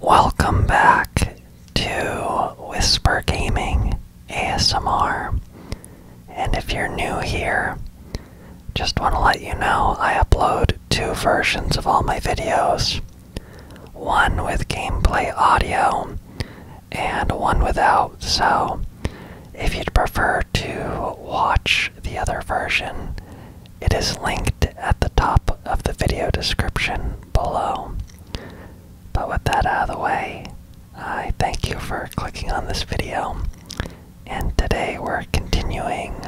Welcome back to Whisper Gaming ASMR. And if you're new here, just want to let you know I upload two versions of all my videos one with gameplay audio and one without. So if you'd prefer to watch the other version, it is linked at the top of the video description below. But with that out of the way, I thank you for clicking on this video. And today we're continuing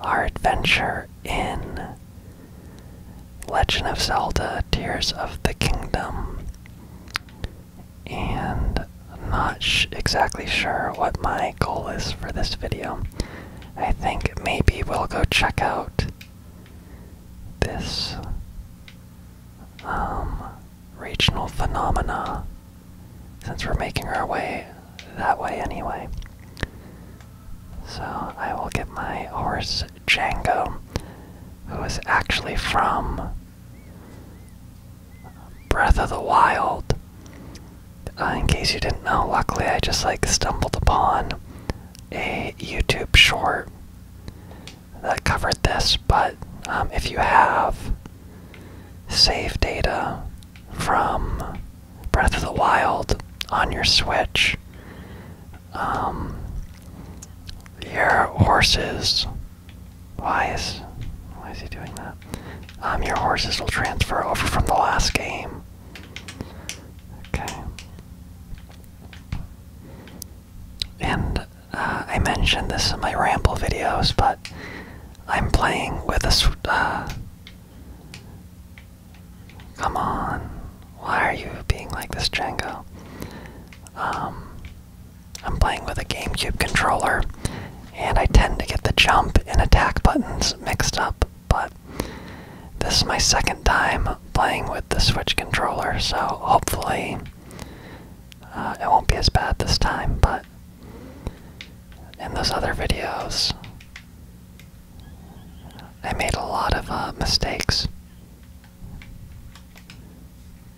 our adventure in Legend of Zelda Tears of the Kingdom. And I'm not sh exactly sure what my goal is for this video. I think maybe we'll go check out this um, regional phenomena since we're making our way that way anyway. So I will get my horse Django, who is actually from Breath of the Wild. Uh, in case you didn't know, luckily I just like stumbled upon a YouTube short that covered this, but um, if you have saved data from Breath of the Wild on your Switch, um, your horses. Why is why is he doing that? Um, your horses will transfer over from the last game Okay. And uh, I mentioned this in my ramble videos, but I'm playing with a. Uh, come on. Why are you being like this, Django? Um, I'm playing with a GameCube controller, and I tend to get the jump and attack buttons mixed up but this is my second time playing with the Switch controller, so hopefully uh, it won't be as bad this time, but in those other videos, I made a lot of uh, mistakes.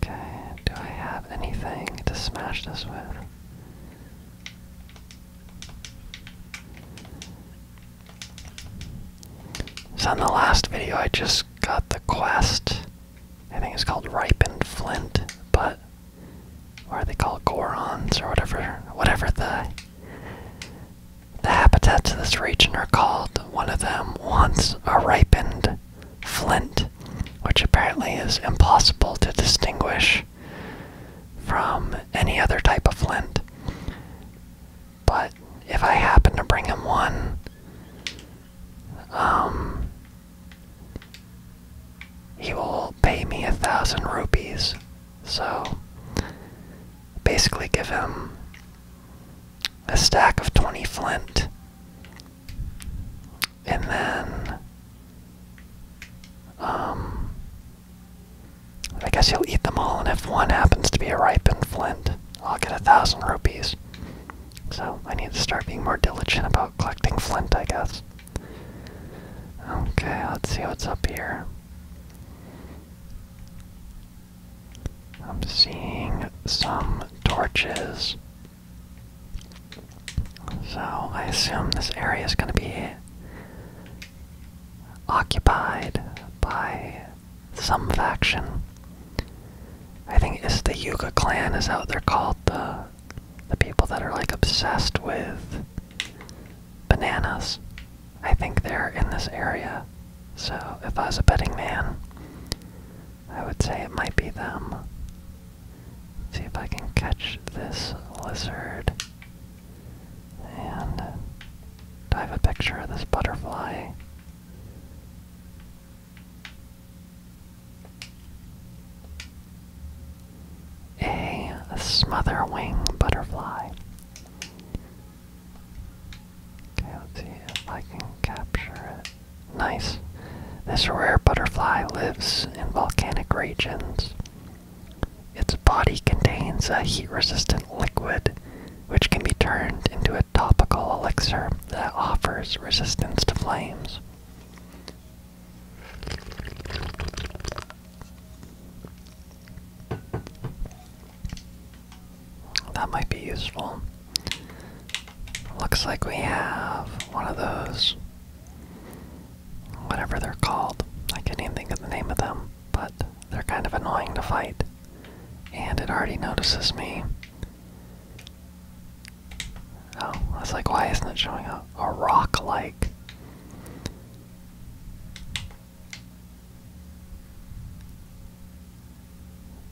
Okay, do I have anything to smash this with? So in the last video I just got the quest. I think it's called Ripened Flint, but or are they called Gorons or whatever whatever the the habitats of this region are called. One of them wants a ripened flint, which apparently is impossible to distinguish from any other type of flint. But if I happen to bring him one, um, he will pay me a thousand rupees. So basically, give him a stack of 20 flint, and then um, I guess he'll eat them all, and if one happens to be a ripened flint, I'll get a thousand rupees. So I need to start being more diligent about collecting flint, I guess. Okay, let's see what's up here. I'm seeing some torches. So I assume this area is going to be occupied by some faction. I think it's the Yuga clan is how they're called the the people that are like obsessed with bananas. I think they're in this area. So if I was a betting man, I would say it might be them. see if I can catch this lizard. And I have a picture of this butterfly. A, a smother wing butterfly. Okay, let's see if I can capture it. Nice. This rare butterfly lives in volcanic regions. Its body contains a heat resistant liquid which can be turned into a topical elixir that offers resistance to flames. That might be useful. Looks like we have one of those. Whatever they're called. I can't even think of the name of them but they're kind of annoying to fight, and it already notices me. Oh, I like, why isn't it showing up? a rock like.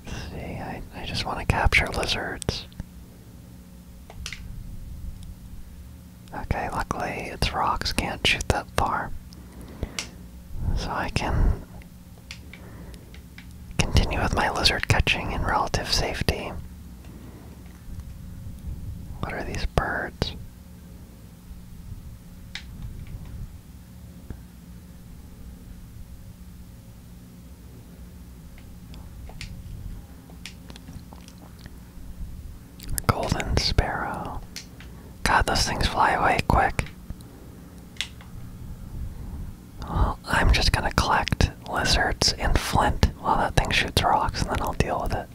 See, I, I just want to capture lizards. Okay, luckily its rocks can't shoot that far. So I can continue with my lizard catching in relative safety. What are these birds? A golden sparrow. God, those things fly away quick. Well, I'm just gonna collect lizards and flint while that thing shoots rocks, and then I'll deal with it.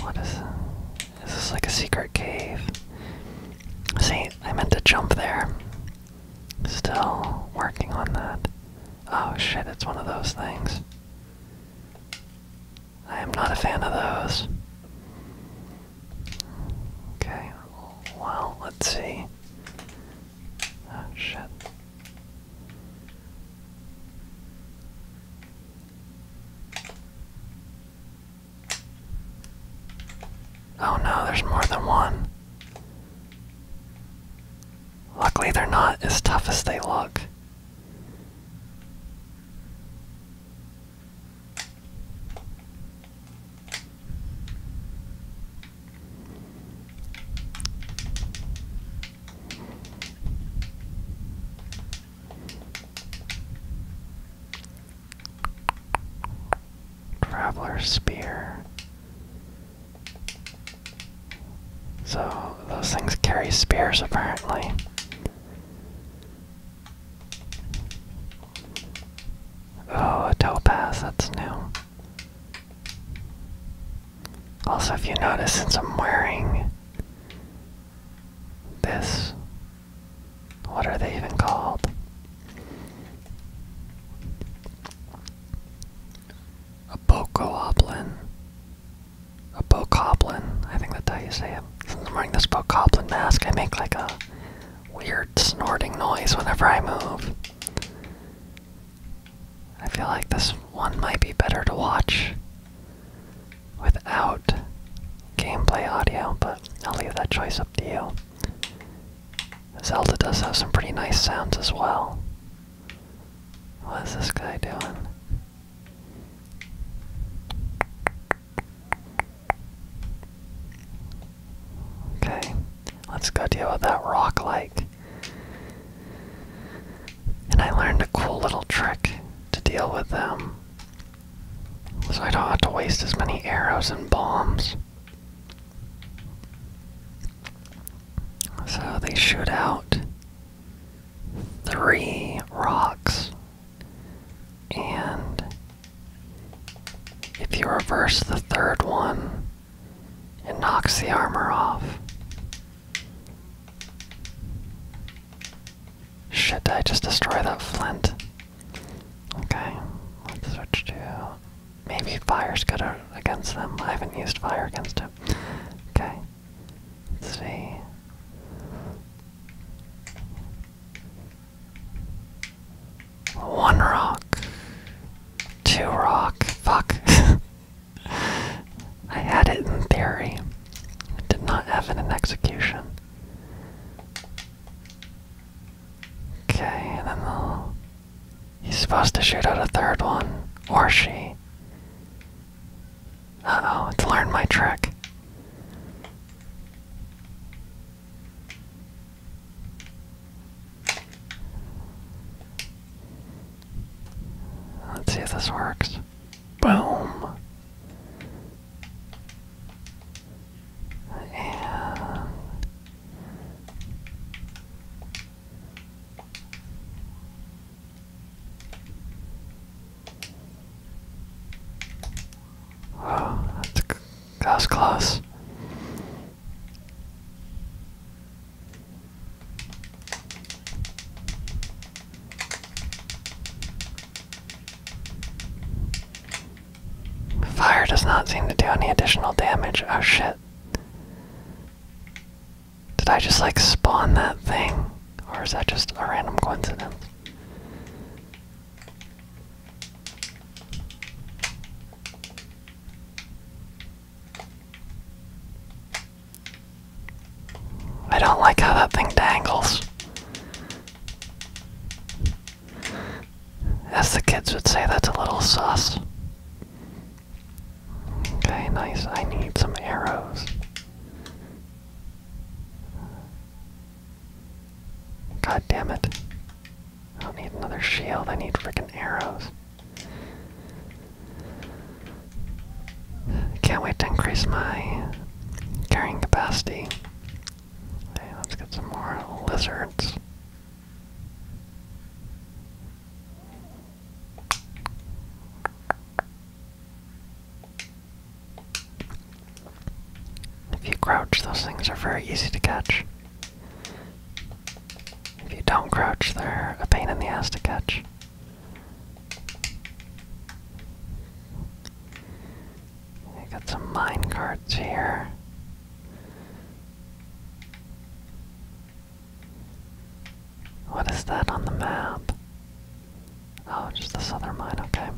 What is this? This Is like a secret cave? See, I meant to jump there. Still working on that. Oh shit, it's one of those things. I am not a fan of those. Okay, well, let's see. Oh shit. Oh no, there's more than one. Luckily, they're not as tough as they look. Traveler's Spear. So, those things carry spears apparently. Oh, a topaz, that's new. Also, if you notice, since I'm wearing this. What are they even called? A Bokoblin. A Bokoblin. I think that's how you say it. Since I'm wearing this Bokoblin mask, I make like a weird snorting noise whenever I move. I feel like this one might be better to watch without gameplay audio, but I'll leave that choice up to you. Zelda does have some pretty nice sounds as well. What is this guy doing? Okay, let's go deal with that rock like. And I learned a cool little trick to deal with them um, so I don't have to waste as many arrows and bombs. So they shoot out three rocks. And if you reverse the third one, it knocks the armor off. Should I just destroy that flint? Okay, let's switch to. Maybe fire's good against them. I haven't used fire against him. Okay, let's see. One rock. Two rock. Fuck. I had it in theory. It did not have in execution. Okay, and then they'll... He's supposed to shoot out a third one. Or she. Uh-oh, it's learned my trick. Let's see if this works. Boom. And Wow, that's, that's close. Fire does not seem to do any additional damage. Oh shit. Did I just like spawn that thing? Or is that just a random coincidence? I don't like how that thing dangles. As the kids would say, that's a little sauce. Okay, nice. I need some arrows. God damn it. I need another shield, I need freaking arrows. Can't wait to increase my Carrying capacity. Okay, let's get some more lizards. If you crouch, those things are very easy to catch. If you don't crouch, they're a pain in the ass to catch. I got some mine carts here. What is that on the map? Oh, just this other mine, okay.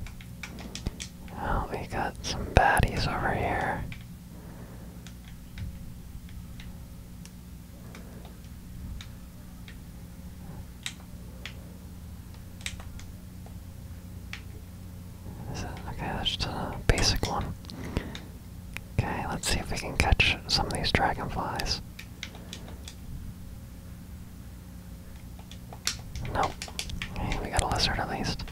Oh, we got some baddies over here okay, that's just a basic one. Okay, let's see if we can catch some of these dragonflies. Nope. Hey, we got a lizard at least.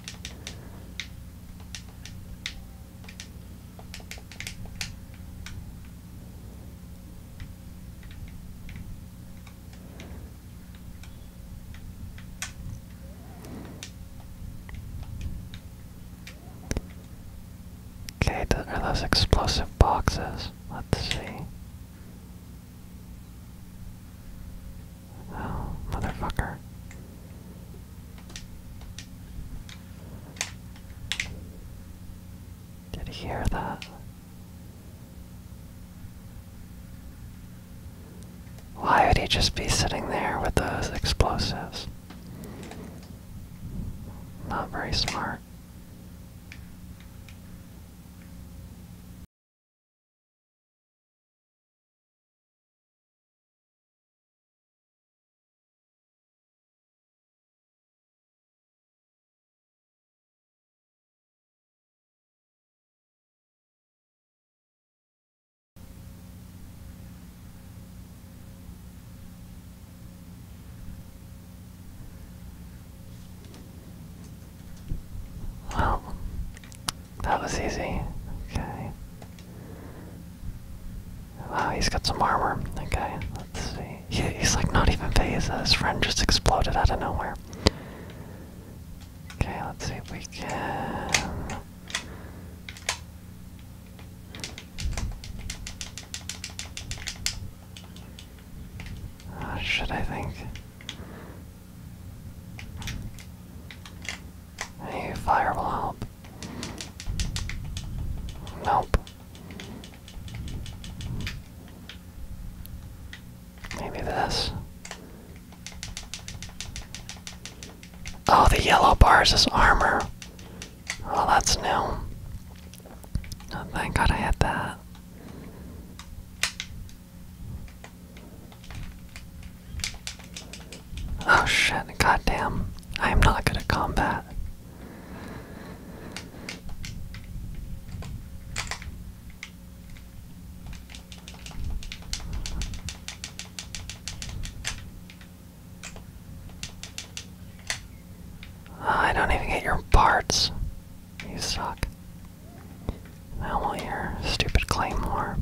Okay, th are those explosive boxes? Let's see. Oh, motherfucker. Did you hear that? Why would he just be sitting there with those explosives? Not very smart. Well, that was easy. Okay. Wow, he's got some armor. Okay, let's see. he's like not even phased. His friend just exploded out of nowhere. Okay, let's see if we can. Oh, should I think? Any fire will help. Nope. Maybe this. Oh, the yellow bars is armor. Oh, that's new. Oh, thank God I had that. Oh shit, goddamn. I am not good at combat. I don't even get your parts. You suck. Now well, will your stupid claymore.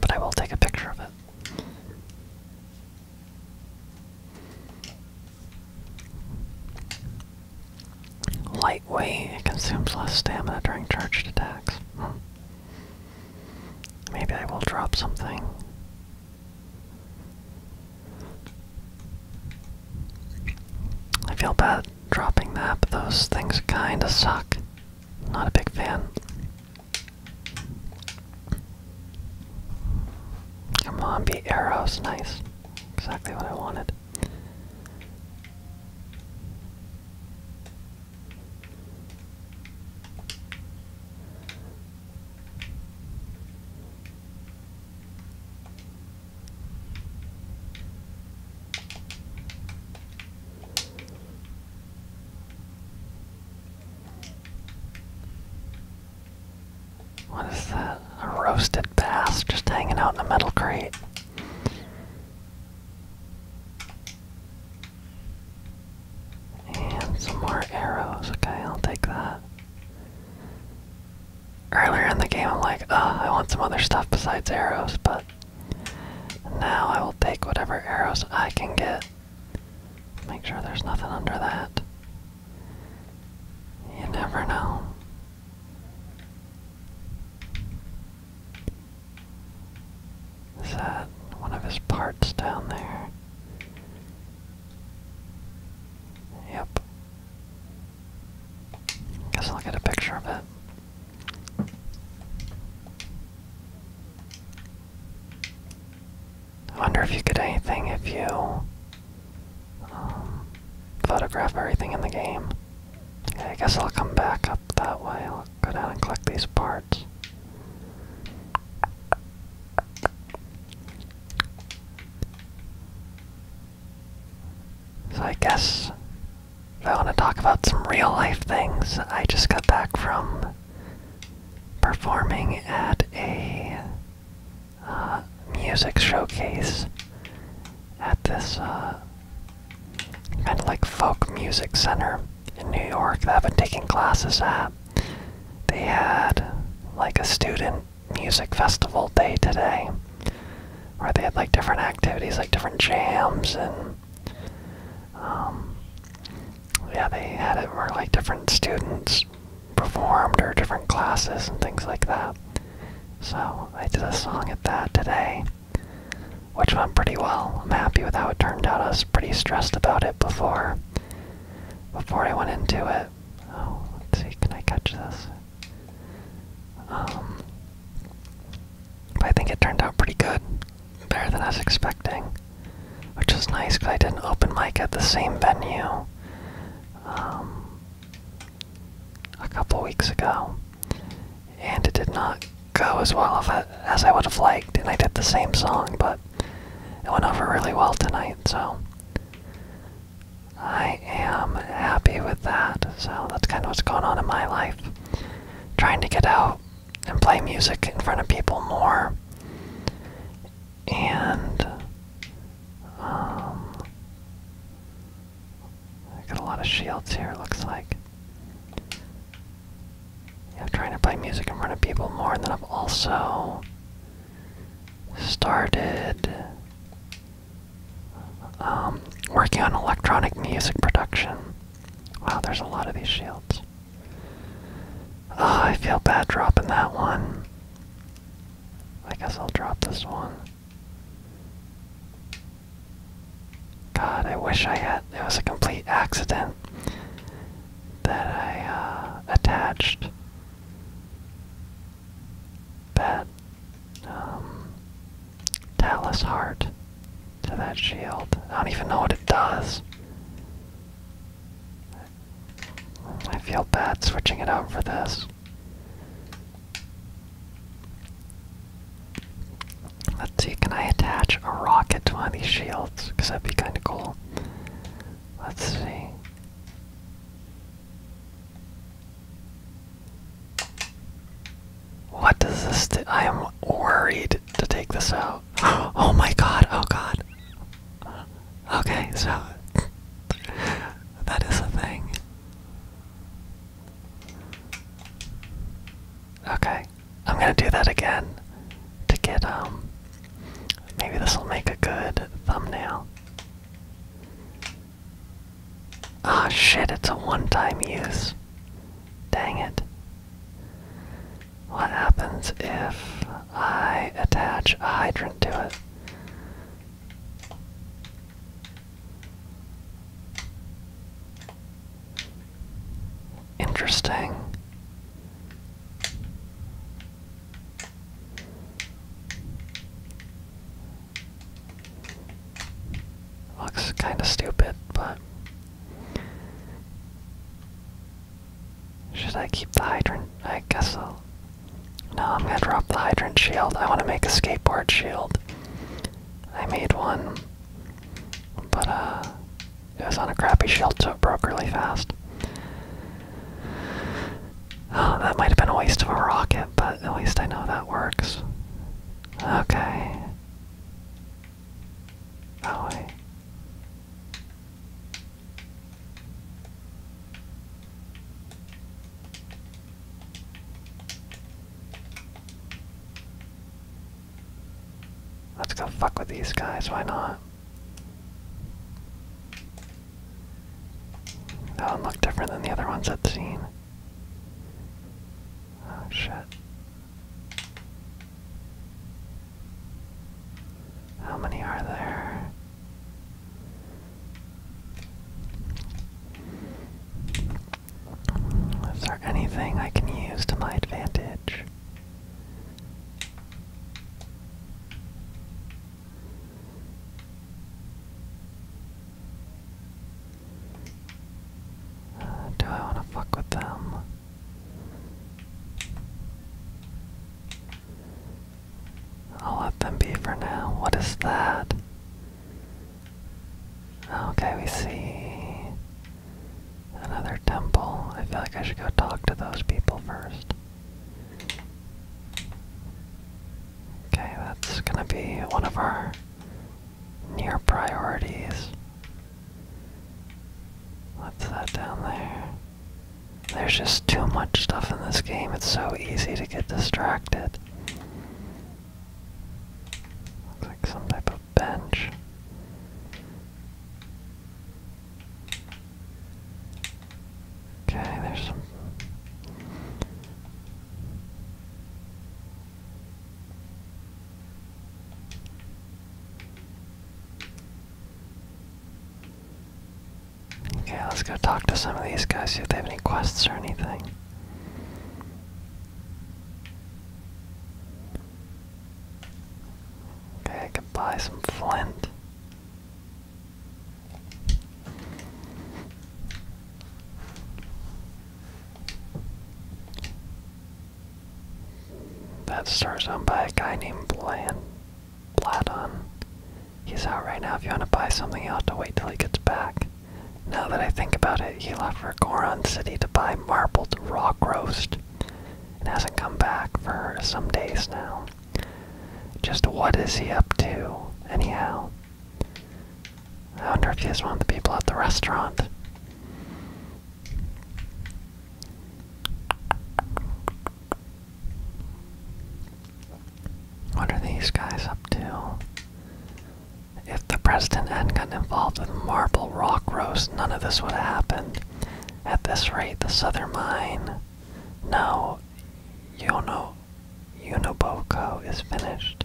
But I will take a picture of it. Lightweight, it consumes less stamina during charged attacks. Hmm. Maybe I will drop something. I feel bad dropping that, but those things kinda suck. Not a big fan. Come on, be arrows, nice. Exactly what I wanted. What is that? A roasted bass just hanging out in the metal crate. And some more arrows. Okay, I'll take that. Earlier in the game, I'm like, oh, I want some other stuff besides arrows, but now I will take whatever arrows I can get. Make sure there's nothing under that. You never know. Is that one of his parts down there? Yep. Guess I'll get a picture of it. I wonder if you get anything if you um, photograph everything in the game. I guess I'll come back up that way. I'll go down and collect these parts. So I guess if I want to talk about some real life things, I just got back from performing at a uh, music showcase at this uh, kind of like folk music center in New York that I've been taking classes at. They had like a student music festival day today where they had like different activities, like different jams and um, yeah, they had it where like different students performed or different classes and things like that. So I did a song at that today, which went pretty well. I'm happy with how it turned out. I was pretty stressed about it before before I went into it. Oh, let's see, can I catch this? Um, but I think it turned out pretty good, better than I was expecting, which was nice because I did not open mic at the same venue. Um, a couple weeks ago, and it did not go as well as I would have liked, and I did the same song, but it went over really well tonight, so I am happy with that. So that's kind of what's going on in my life. Trying to get out and play music in front of people more. And um, I got a lot of shields here, looks like. I'm trying to play music in front of people more, and then I've also started um, working on electronic music production. Wow, there's a lot of these shields. Oh, I feel bad dropping that one. I guess I'll drop this one. God, I wish I had. It was a complete accident that I uh, attached that um, Talus heart to that shield. I don't even know what it does. I feel bad switching it out for this. Let's see, can I attach a rocket to one of these shields? Because that'd be kind of cool. Let's see. What does this I am worried to take this out. Oh my god, oh god. Okay, so that is a thing. Okay, I'm gonna do that again to get, um, maybe this will make a good thumbnail. Ah, oh, shit, it's a one time use. Dang it. What happens if I attach a hydrant to it? Interesting. Looks kind of stupid, but should I keep the hydrant? I guess I'll no, I'm gonna drop the hydrant shield. I wanna make a skateboard shield. I made one. But uh it was on a crappy shield so it broke really fast. Oh, that might have been a waste of a rocket, but at least I know that works. Okay. Oh wait. Let's go fuck with these guys, why not? That one looked different than the other ones at the scene. Oh shit. How many are there? Is there anything I can use to my advantage? Uh, do I want to fuck with them? I'll let them be for now. What is that? Okay, we see another temple. I feel like I should go talk to those people first. Okay, that's gonna be one of our near priorities. What's that down there? There's just too much stuff in this game, it's so easy to get distracted. Looks like some type of bench. Okay, there's some. Okay, let's go talk to some of these guys, see if they have any quests or anything. Okay, I can buy some flint. That star's on by a guy named Bland Bladon. He's out right now. If you want to buy something, you'll have to wait till he gets back. Now that I think about it, he left for Goron City to buy marbled rock roast and hasn't come back for some days now. Just what is he up to, anyhow? I wonder if he's one of the people at the restaurant. What are these guys up to? If the president hadn't gotten involved with Marble Rock Roast, none of this would have happened. At this rate, the Southern Mine. No, know, Unoboko is finished.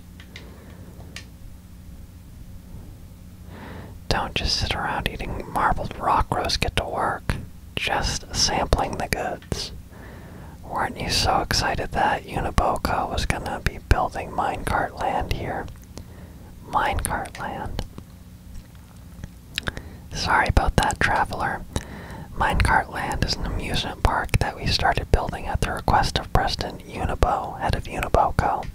Don't just sit around eating marbled rock roast, get to work. Just sampling the goods. Weren't you so excited that Uniboco was gonna be building Minecart Land here? Minecart Land. Sorry about that, traveler. Minecart Land is an amusement park that we started building at the request of President Unibo, head of Uniboco.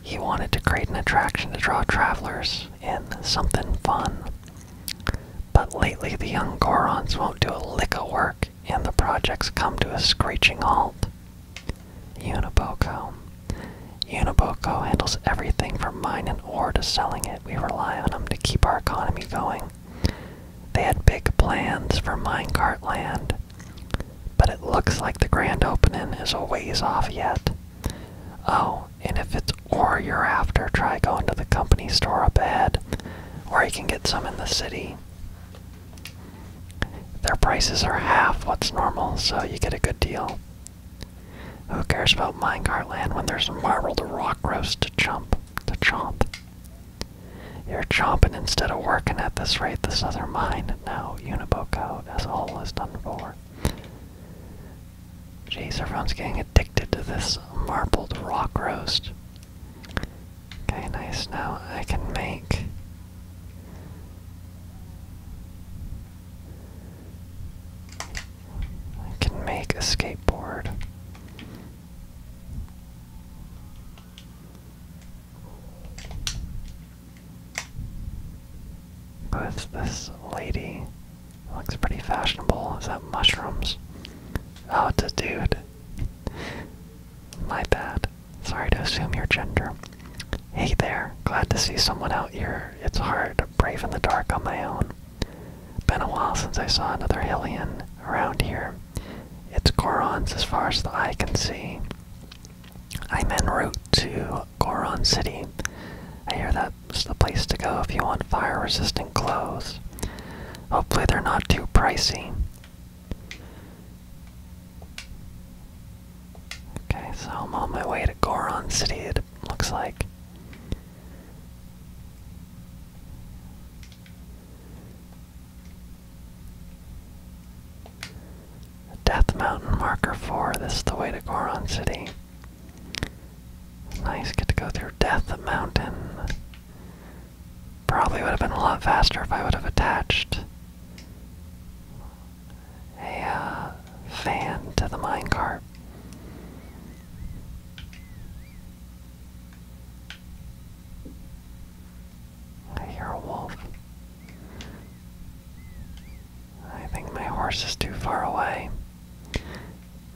He wanted to create an attraction to draw travelers in, something fun. But lately the young Gorons won't do a lick of work, and the project's come to a screeching halt. Uniboco. Uniboco handles everything from mining ore to selling it. We rely on them to keep our economy going. They had big plans for minecart land, but it looks like the grand opening is a ways off yet. Oh, and if it's ore you're after, try going to the company store up ahead or you can get some in the city. Their prices are half what's normal, so you get a good deal. Who cares about minecart land when there's a marble to rock roast to chomp, to chomp? You're chomping instead of working at this rate, this other mine now Uniboco as all whole is done for. Geez, everyone's getting addicted to this marbled rock roast. Okay, nice. Now I can make I can make a skateboard. With this lady. Looks pretty fashionable. Is that mushrooms? Oh, it's a dude. My bad. Sorry to assume your gender. Hey there, glad to see someone out here. It's hard, to brave in the dark on my own. Been a while since I saw another Hillian around here. It's Goron's as far as the eye can see. I'm en route to Goron City. I hear that's the place to go if you want fire resistant clothes. Hopefully, they're not too pricey. Okay, so I'm on my way to Goron City, it looks like. Death Mountain Marker 4, this is the way to Goron City. Nice, get to go through Death Mountain. Probably would have been a lot faster if I would have attached a uh, fan to the minecart. I hear a wolf. I think my horse is too far away.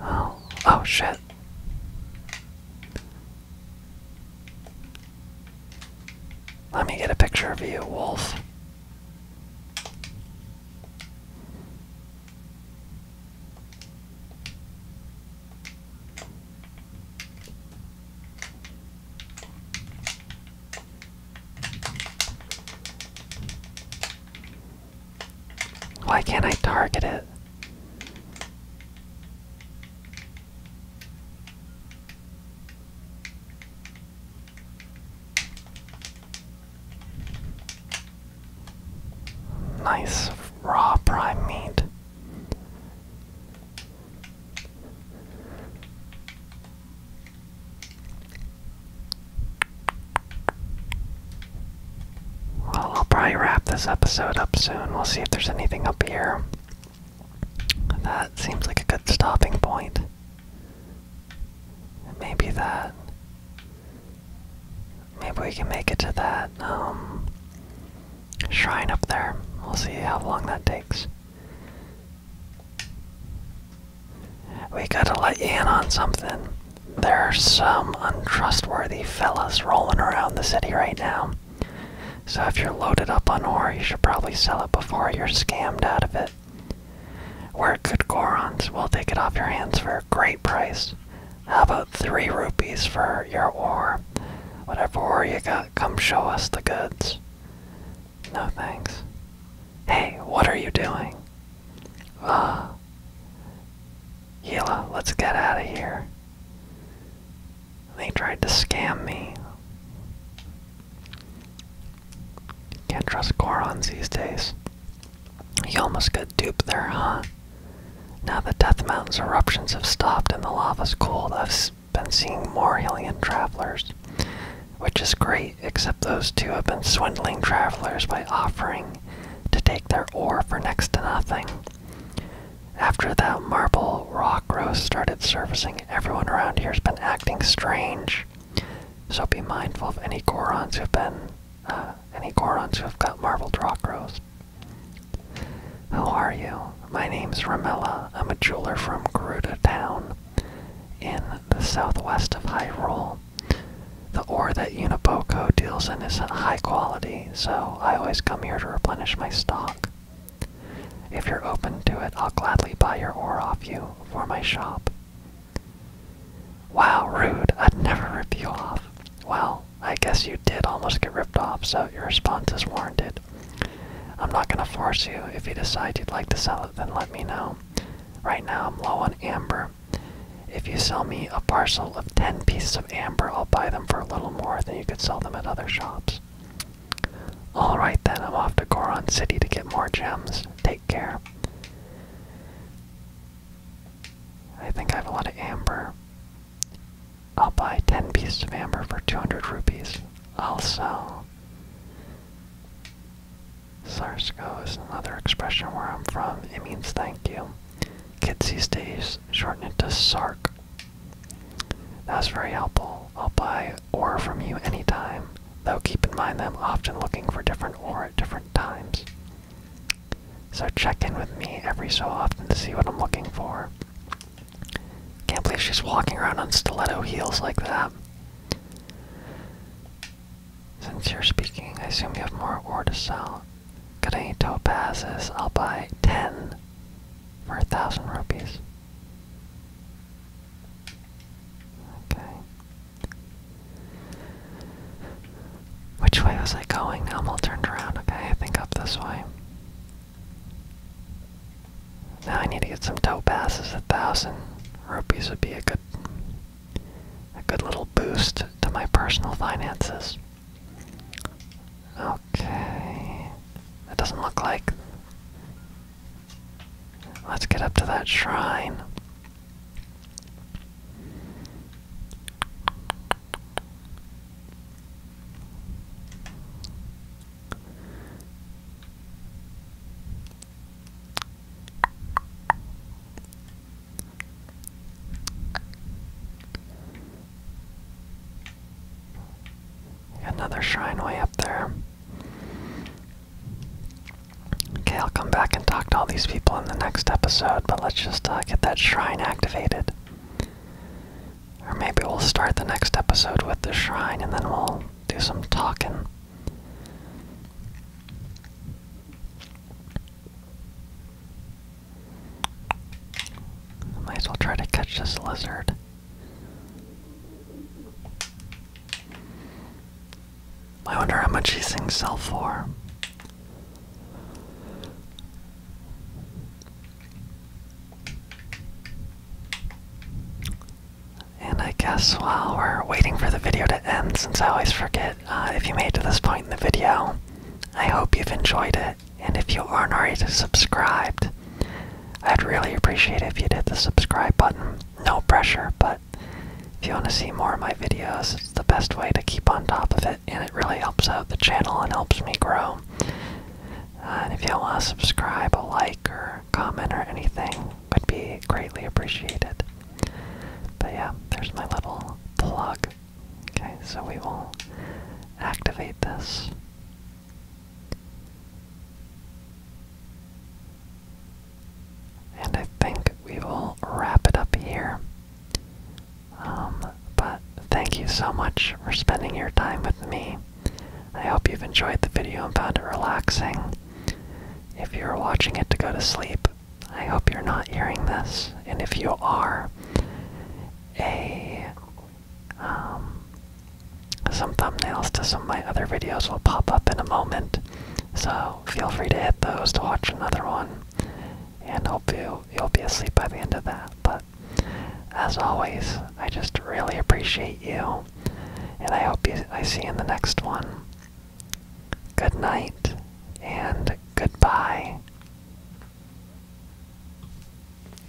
Oh, oh shit. Let me get a picture of you, wolf. Why can't I target it? Nice raw prime meat. Well, I'll probably wrap this episode up soon. We'll see if there's anything up here. That seems like a good stopping point. Maybe that. Maybe we can make it to that um, shrine up there. We'll see how long that takes. We gotta let you in on something. There are some untrustworthy fellas rolling around the city right now. So if you're loaded up on ore, you should probably sell it before you're scammed out of it. We're good Gorons. We'll take it off your hands for a great price. How about three rupees for your ore? Whatever ore you got, come show us the goods. No thanks. Hey, what are you doing? Ah. Uh, Gila, let's get out of here. They tried to scam me. Can't trust Gorons these days. You almost got duped there, huh? Now the Death Mountain's eruptions have stopped and the lava's cooled, I've been seeing more alien travelers. Which is great, except those two have been swindling travelers by offering to take their ore for next to nothing. After that marble rock rose started surfacing, everyone around here has been acting strange. So be mindful of any Gorons who've been, uh, any Gorons who've got marble rock rose. Who are you? My name's Ramella. I'm a jeweler from Garuda Town in the southwest of Hyrule. The ore that Uniboco deals in is high quality, so I always come here to replenish my stock. If you're open to it, I'll gladly buy your ore off you for my shop. Wow, rude. I'd never rip you off. Well, I guess you did almost get ripped off, so your response is warranted. I'm not gonna force you. If you decide you'd like to sell it, then let me know. Right now I'm low on amber. If you sell me a parcel of 10 pieces amber, I'll buy them for a little more than you could sell them at other shops. Alright then, I'm off to Goron City to get more gems. Take care. I think I have a lot of amber. I'll buy 10 pieces of amber for 200 rupees. I'll sell. Sarsko is another expression where I'm from. It means thank you. Kids these days shorten it to Sark. That's very helpful. I'll buy ore from you anytime, though keep in mind I'm often looking for different ore at different times. So check in with me every so often to see what I'm looking for. Can't believe she's walking around on stiletto heels like that. Since you're speaking, I assume you have more ore to sell. Got any topazes? I'll buy 10 for a thousand rupees. Okay. Which way was I going? I'm all turned around. Okay, I think up this way. Now I need to get some toe passes. A thousand rupees would be a good, a good little boost to my personal finances. Okay. That doesn't look like. Let's get up to that shrine. Another shrine way up there. Okay, I'll come back and talk to all these people in the next episode, but let's just uh, get that shrine activated. Or maybe we'll start the next episode with the shrine and then we'll do some talking. Might as well try to catch this lizard. I wonder how much these things sell for. And I guess while we're waiting for the video to end, since I always forget uh, if you made to this point in the video, I hope you've enjoyed it and if you aren't already subscribed, I'd really appreciate it if you did the subscribe button. No pressure, but if you want to see more of my videos, it's the best way to keep on top of it, and it really helps out the channel and helps me grow. Uh, and if you do want to subscribe, a like, or comment, or anything would be greatly appreciated. But yeah, there's my little plug. Okay, so we will activate this. And I think we will wrap it up here. Um, but thank you so much for spending your time with me. I hope you've enjoyed the video and found it relaxing. If you're watching it to go to sleep, I hope you're not hearing this. And if you are, a um, some thumbnails to some of my other videos will pop up in a moment, so feel free to hit those to watch another one. And hope you you'll be asleep by the end of that. But as always, I just really appreciate you, and I hope you, I see you in the next one. Good night and goodbye.